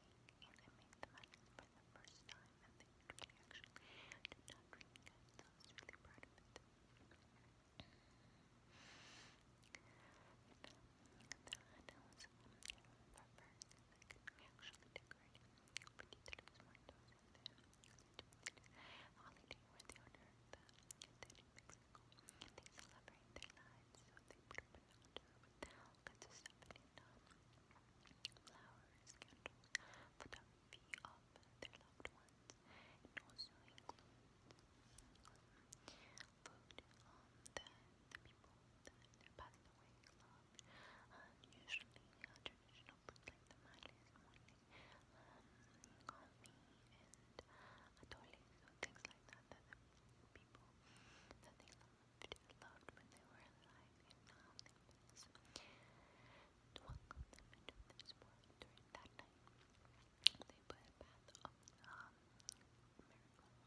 and I made them out for the first time and they really actually did not drink it, so I really proud of it. was um, rubber actually decorate, but he did and then holiday the dead in they celebrate their lives, so they put up an altar with all kinds flowers, candles, photography of their loved ones. It also includes food um, the people that passed away love. Um, usually traditional food like the tamales, um, coffee, and atoles, so things like that that the people that they love loved, loved when they were alive and now they miss. To welcome them into this world during that night, they put a bath of um, marigold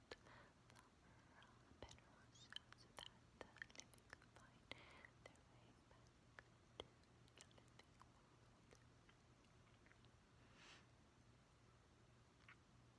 flower uh, bed rose so that the living could find their way back to the living world.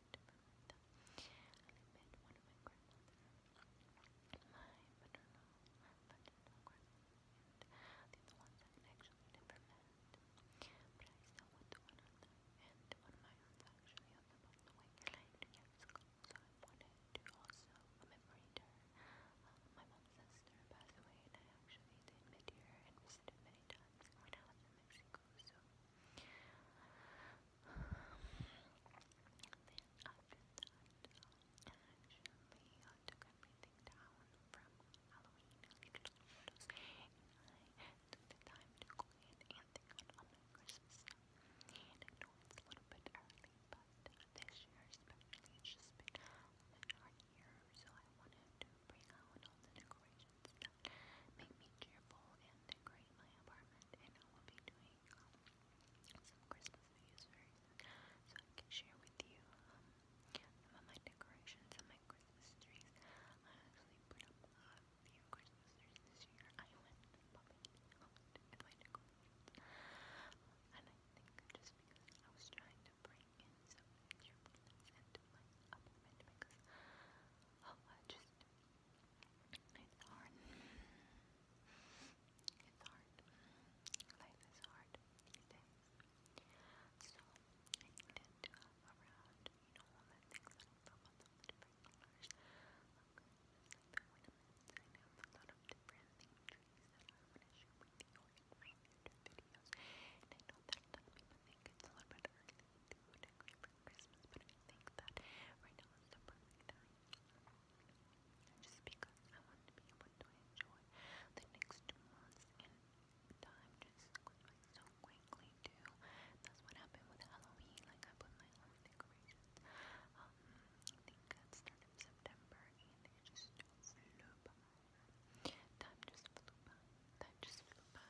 to Bermuda. the ones I actually never met. But I still went to one of them, and one of my aunts actually on the passed away like two years ago, so I wanted to also commemorate her. Uh, my mom's sister passed away, and I actually did meet her and visited many times when I was in Mexico, so then after that, um, I took everything down from Halloween I took the time to go in and think on Christmas And it's a little bit early, but this year especially it's just been a hard year, so I wanted to bring out all the decorations make me cheerful and decorate my apartment. Island, and I will be doing um, some Christmas videos so I can share with you um, some of my decorations and my Christmas trees. I actually put up a few Christmas trees this year. I went popping out and I think just because I was trying to bring in some extra presents oh, I just it's hard. It's hard. Life is hard So I tend to have around, you know, all the things that I love, all the different colors. Look, just like the ornaments, I have a lot of different theme that I want to share with you in my future videos. And I know that a lot of people think it's a little bit early do decorate for Christmas, but I think that right now is the perfect time. Just because I want to be able to enjoy the next two months and time just so quickly too. That's what happened with Halloween. Like I put my own decorations. I think it started September and it just flew by. Time just flew by. Time just flew by.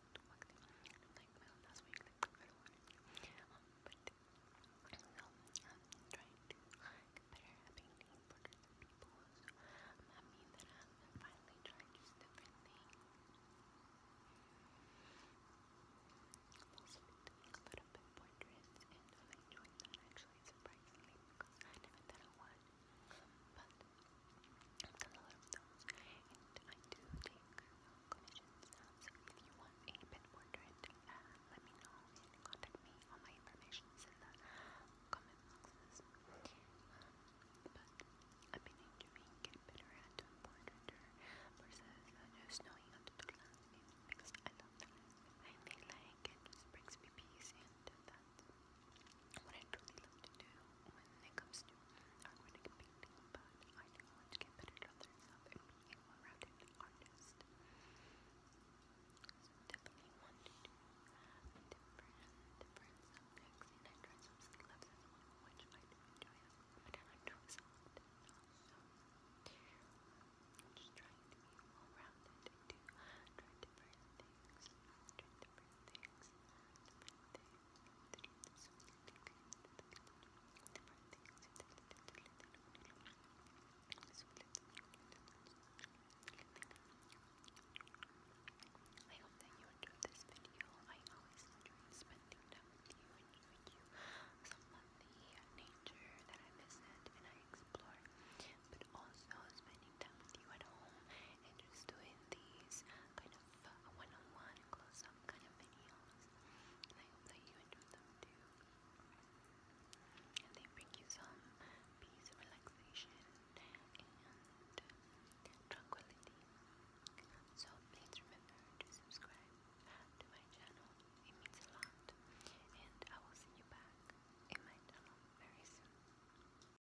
like my um, trying to get better at being named for people. So I'm that I'm finally trying just different things. I've also a little dress and I'm enjoying actually surprisingly because I never thought I would. But I've done a lot of and I do take commissions. So if you want a pet portrait, uh, let me know contact me. All my information is in the comment but I've been enjoying getting better at doing portraiture versus just knowing how to because I love like it. Just brings me peace and that what I truly love to do when it comes to artistic painting, but I do to get better at other and be a well-rounded artist. So definitely want to do different, different subjects, and I try some skill levels as well, which I do enjoy as well, but I enjoy some also. I'm just trying to be well-rounded and do different things, I hope that you enjoyed this video. I always enjoy spending time with you and showing you some of the nature that I visit and I explore, but also spending time with you at home and just doing these kind of uh, one-on-one close-up kind of videos. I hope that you enjoy them too. And they bring you some peace, relaxation, and tranquility. So please remember to subscribe to my channel. It means a lot. And I will see you back in my channel very soon.